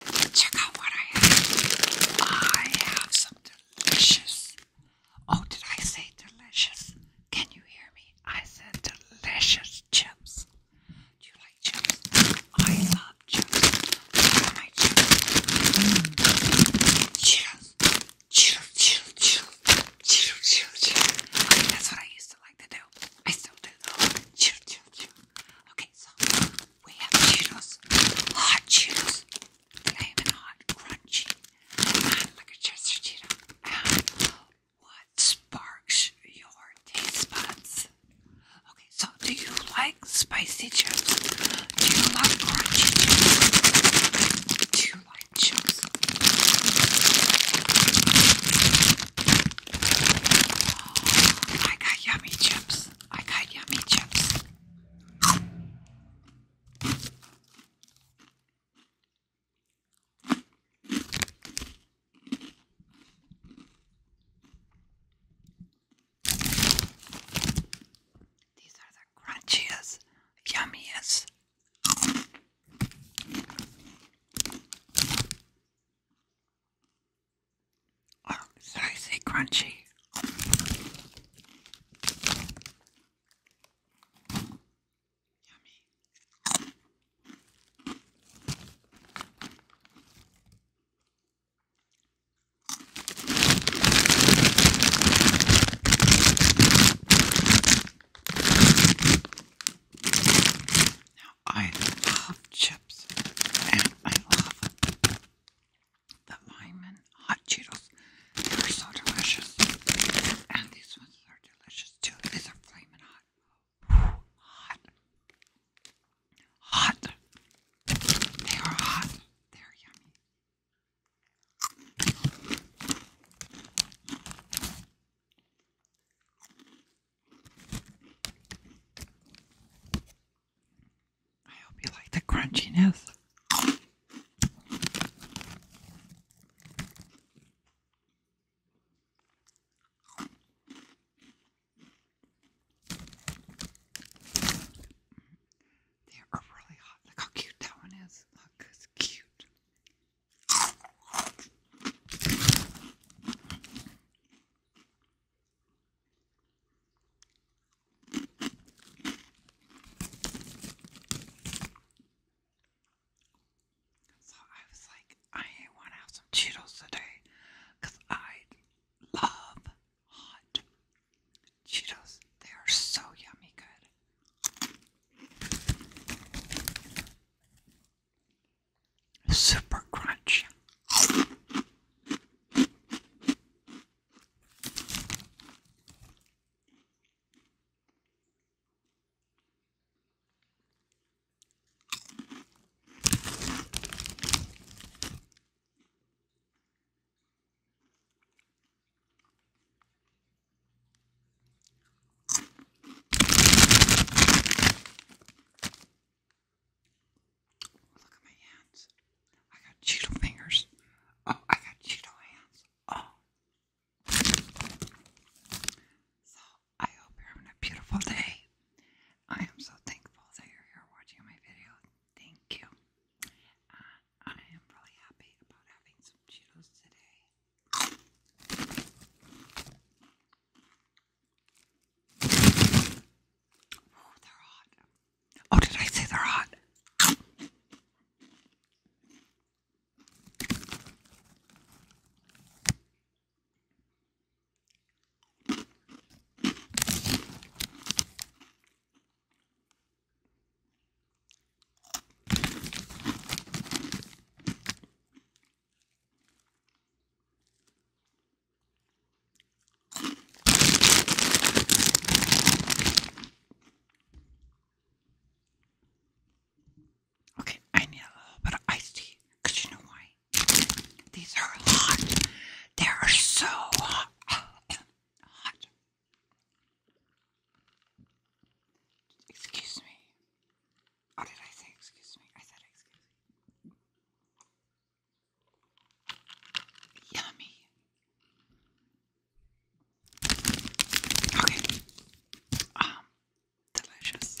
Check out what I have. I have some delicious. Oh, did I say delicious? Can you hear me? I said delicious chips. Do you like chips? I love chips. What are my chips? Mm. Cheetos. Cheetos, Cheetos, Cheetos. Cheetos, Cheetos, Cheetos. That's what I used to like to do. I still do. Cheetos, Cheetos, Cheetos. Okay, so we have chinos, hot chinos, flame hot, crunchy, and like a Chester Cheeto. what sparks your taste buds? Okay, so do you like spicy chips? Do you like crunchy chips? Do you like chips? I got yummy chips. I got yummy chips. These are the crunchiest, yummiest. Oh, did crunchy? Yummy. I love chips and I love the Lyman hot Cheetos. They're so delicious. And these ones are delicious too. These are flaming hot. Hot. Hot. They are hot. They're yummy. I hope you like the crunchiness. They are really hot. Look how cute that one is. Look, it's cute. So I was like, I want to have some Cheetos today because I love hot Cheetos. They are so yummy good. Super crunch. Look at my hands. I got Cheeto fingers. Oh, I got Cheeto hands. Oh. So, I hope you're having a beautiful day. I am so thankful that you're here watching my video. Thank you. I am really happy about having some Cheetos today. Oh, they're hot. Oh, did I say they're hot? Okay, I need a little bit of ice tea because you know why? These are hot. They are so hot. Excuse me. Or oh, did I say excuse me? I said excuse me. Yummy. Okay. Um, delicious.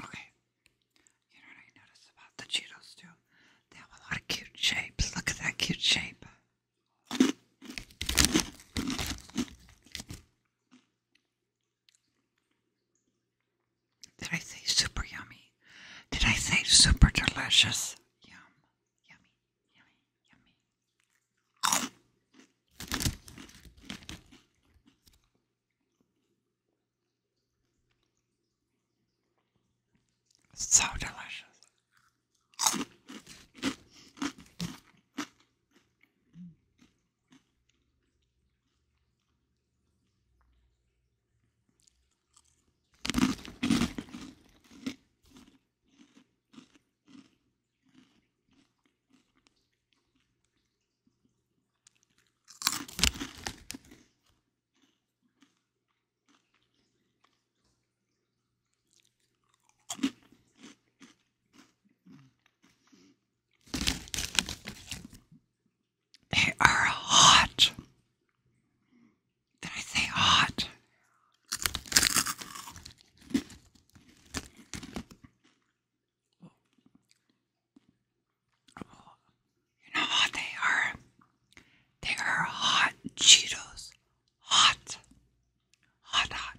Okay. You know what I noticed about the Cheetos too? They have a lot of cute shapes. Look at that cute shape. Did I say super yummy? Did I say super delicious? Yum, yummy, yummy, yummy. So delicious. They are hot. Did I say hot? you know what they are? They are hot Cheetos. Hot. Hot, hot.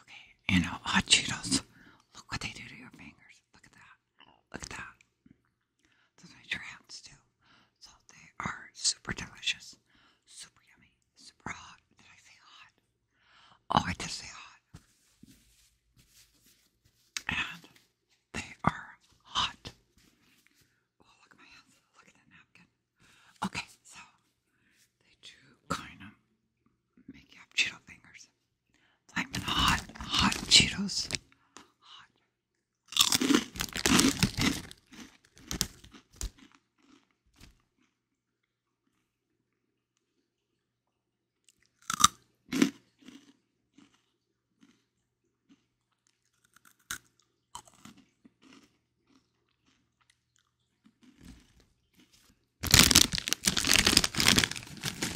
Okay, and now hot Cheetos. Look what they do to your fingers. Look at that. Look at that. Those are your hands too. So they are super delicious, super yummy, super hot. Did I say hot? Oh, I did say hot. And they are hot. Oh, look at my hands. Look at the napkin. Okay, so they do kind of make you have Cheeto fingers. Flamin' hot, hot Cheetos.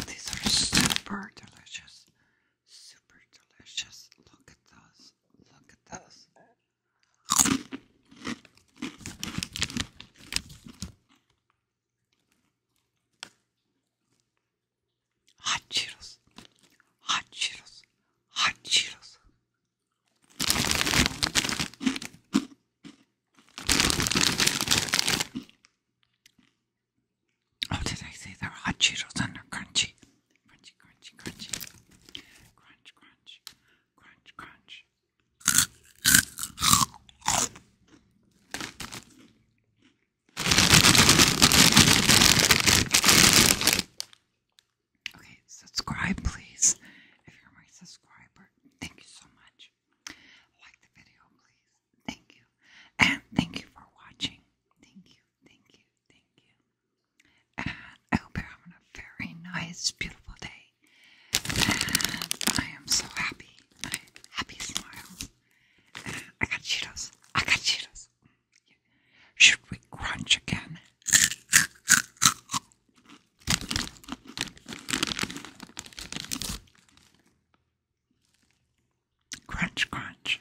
These are super delicious. Super delicious. Look at those. Look at those hot Cheetos, hot Cheetos, hot Cheetos. Oh, did I say they're hot Cheetos and they're crunchy? Crunchy, crunchy, crunchy. Crunch, crunch, crunch, crunch. Okay, subscribe, please. If you're my subscriber, thank you so much. Like the video, please. Thank you. And thank you for watching. Thank you, thank you, thank you. And I hope you're a very nice, beautiful day. And I am so happy. I happy smile. I got Cheetos. I got Cheetos. Should we crunch again? Crunch, crunch.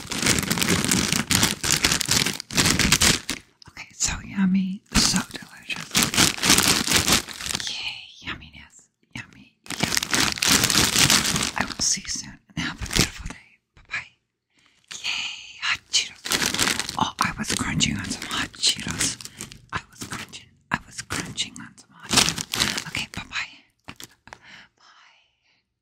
Okay, so yummy, so delicious. Yay, yumminess, yummy, yummy. I will see you soon and have a beautiful day. Bye bye. Yay, hot Cheetos. Oh, I was crunching on some hot Cheetos. I was crunching, I was crunching on some hot Okay, bye bye. Bye.